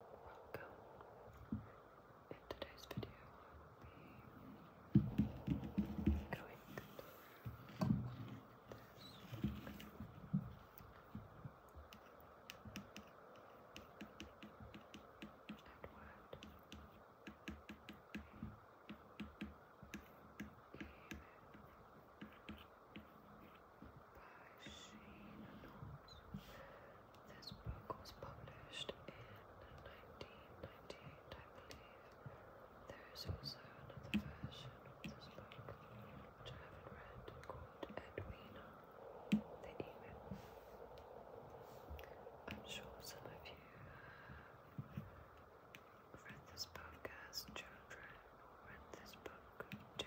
Welcome. In today's video, i by This book was published in 1998, There is also another version of this book, which uh, I have read, called Edwina, I'm sure some of you have read this book as children, read this book to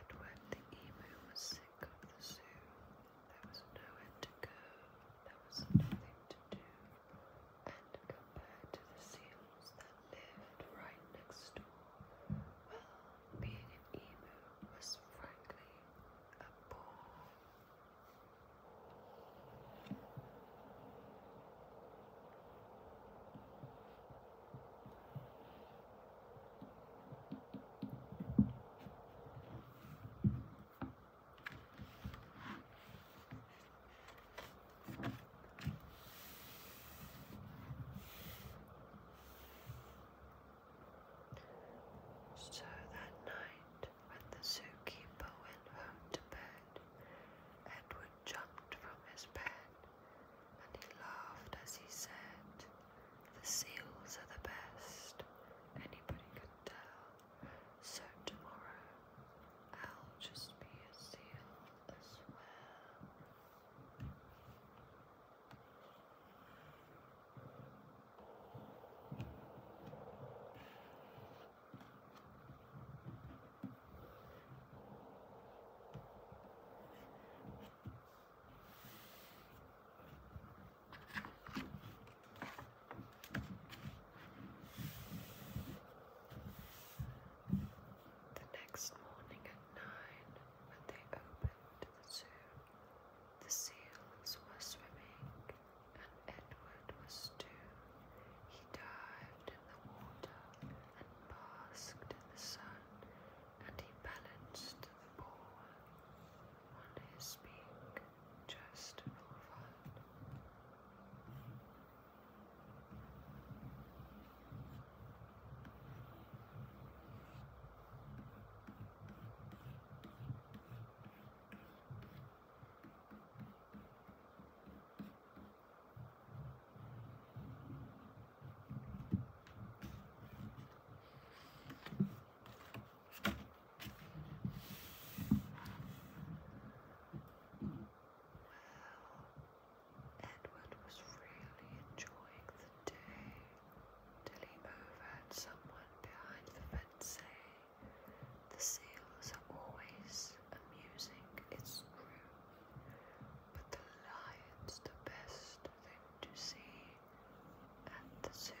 Edward the emu was sick of the zoo. There was nowhere to go there was nothing to do, and compared to the seals that lived right next door, well, being an emu was frankly a bore. So that night, when the zookeeper went home to bed, Edward jumped from his bed and he laughed as he said, The seals are the best, anybody could tell. So tomorrow I'll just be a seal as well. The next morning at nine, when they opened the zoo, the seals were swimming, and Edward was too. He dived in the water and basked in the sun, and he balanced the ball want to speak just for Edward was really enjoying the day till he overheard someone behind the fence say, The seals are always amusing, it's true, but the lion's the best thing to see at the zoo.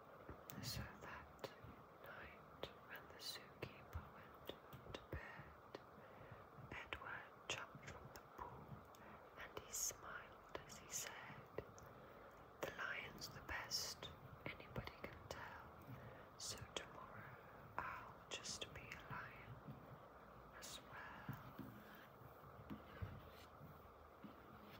So that night, when the zookeeper went to bed, Edward jumped from the pool and he smiled as he said, The lion's the best, anybody can tell. So tomorrow I'll just be a lion as well.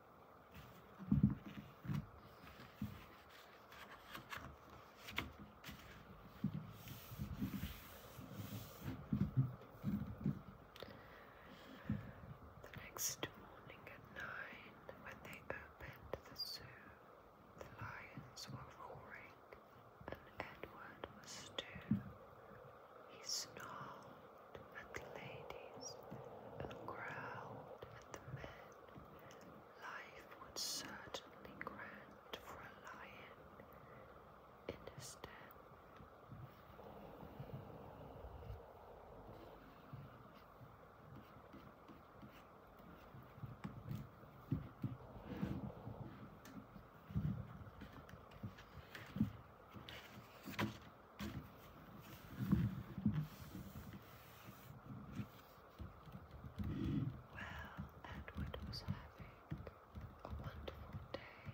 The next morning at nine, when they opened the zoo, the lions were roaring, and Edward was too. He snarled at the ladies and growled at the men. Life would certainly grant for a lion in his den. Well, Edward was having a wonderful day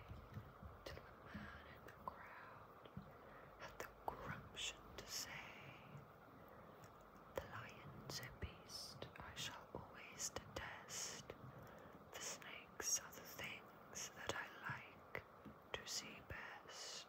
till a man in the crowd had the gumption to say, The lion's a beast I shall always detest. The snakes are the things that I like to see best.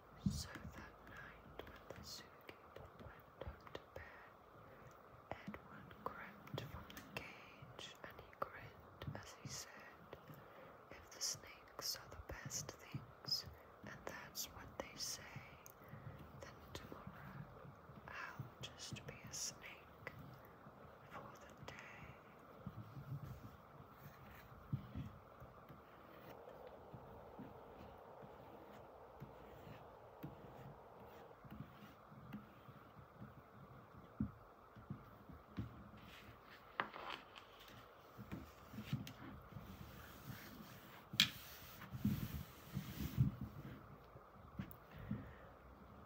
So that night, when the zookeeper went up to bed, Edwin crept from the cage and he grinned as he said, If the snakes are the best things, and that's what they say, then tomorrow I'll just be a snake for the day.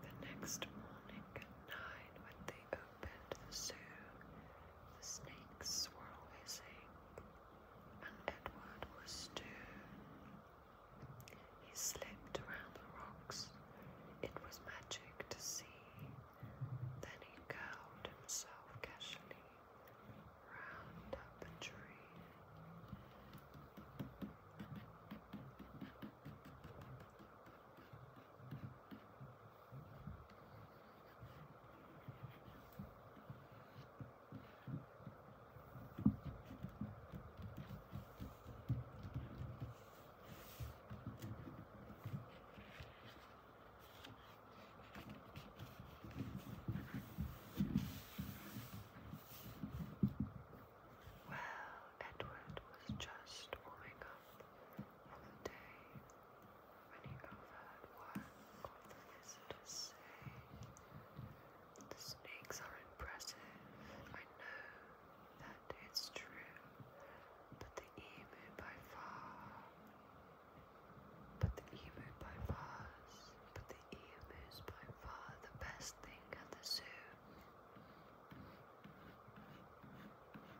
The next morning at nine, when they open the zoo, the snakes were always and Edward was too. He slipped around the rocks. It was magic to see. Then he curled himself casually round a tree. Well, Edward was just warming up day when he overheard one of the visitors say, The snakes are impressive, I know that it's true, but the emu by far, but the emu by far, but the emu is by far the best thing at the zoo.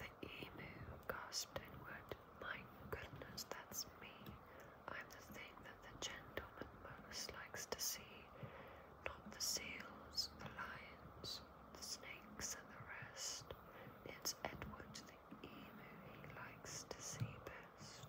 The emu gasped inward, My goodness, that's me. I'm the thing that the gentleman most likes to see, not the seals, the lions, the snakes, and the rest. It's Edward the emu he likes to see best.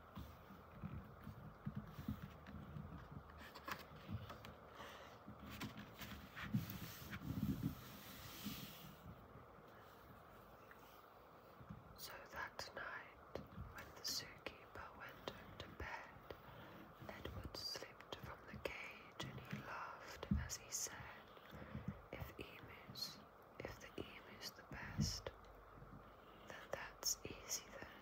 So that night, when the zookeeper went to bed, Edward slipped from the cage and he laughed as he said, If emus, if the emu's the best, then that's easy then.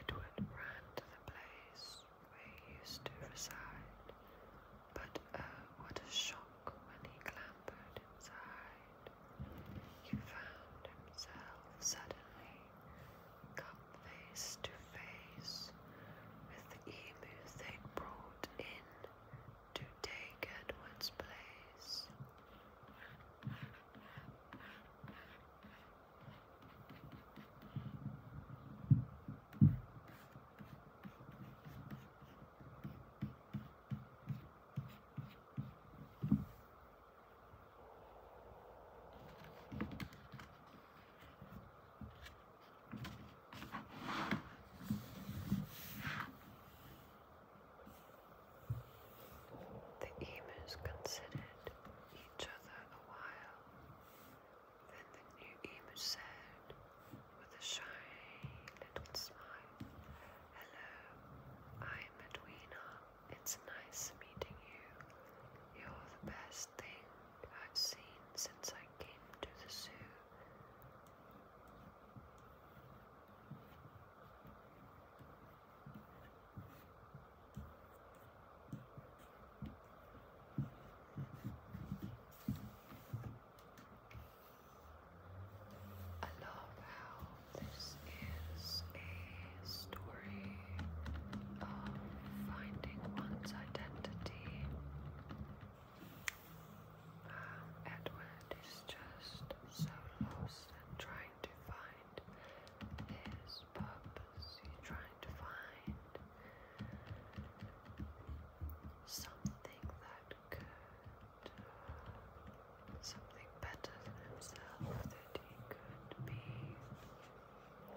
Edward ran to the place where he used to reside, but oh, what a shock when he clambered inside. He found himself suddenly come face to face with the emu they brought in to take Edward's place. The emus considered each other a while. Then the new emu said, with a shy little smile, Hello, I'm Edwina. It's nice meeting you. You're the best thing I've seen since I came to the zoo. I love how this is a story of finding one's identity Edward is just so lost trying to find his purpose. He's trying to find something that could, something better than himself that he could be,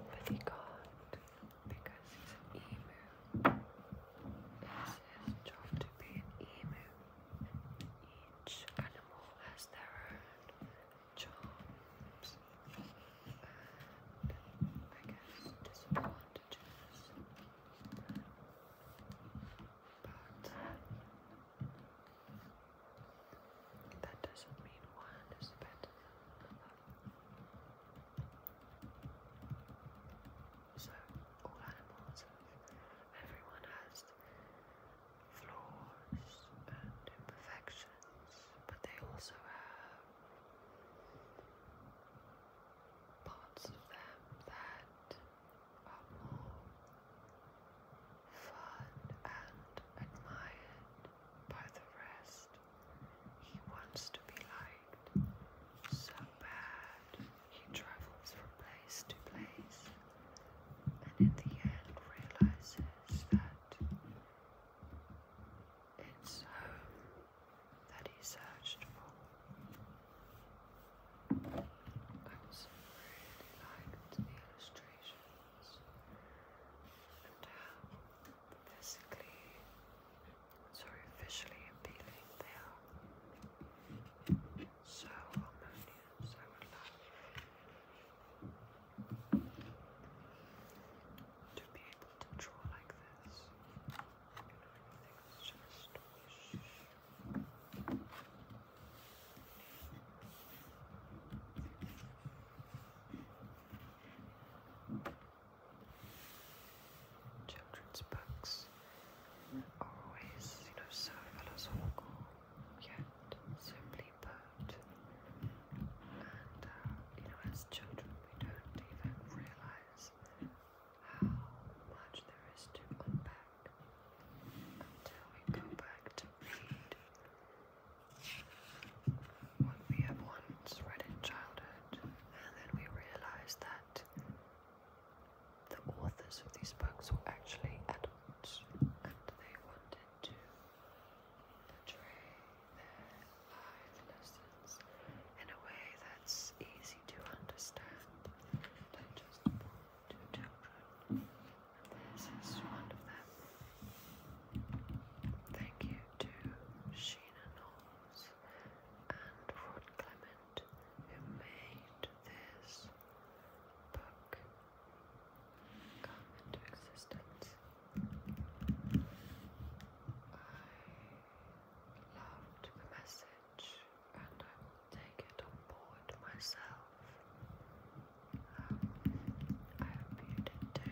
but he can't because he's an emu. It's his job to be an emu. Each animal has their own charms and I guess disadvantages. But that doesn't mean one is better than another. So, all animals, everyone has flaws and imperfections, but they also have parts of them that are more fun and admired by the rest. He wants to be liked so bad. He travels from place to place and in the end realizes that it's home that he searched for. I really liked the illustrations and how basically so visually appealing they are. So harmonious, I would to be able to draw like this. everything's just Children's books are always, you know, so philosophical, yet simply put. And, uh, you know, as children, we don't even realize how much there is to unpack until we go back to read when we have once read in childhood, and then we realize that the authors of these books were actually adults and they wanted to portray their life lessons in a way that's easy to understand, digestible to children. And this is one of them. Thank you to Sheena Knowles and Rod Clement who made this book come into existence. I loved the message and I take it on board myself. Um, I hope you did too.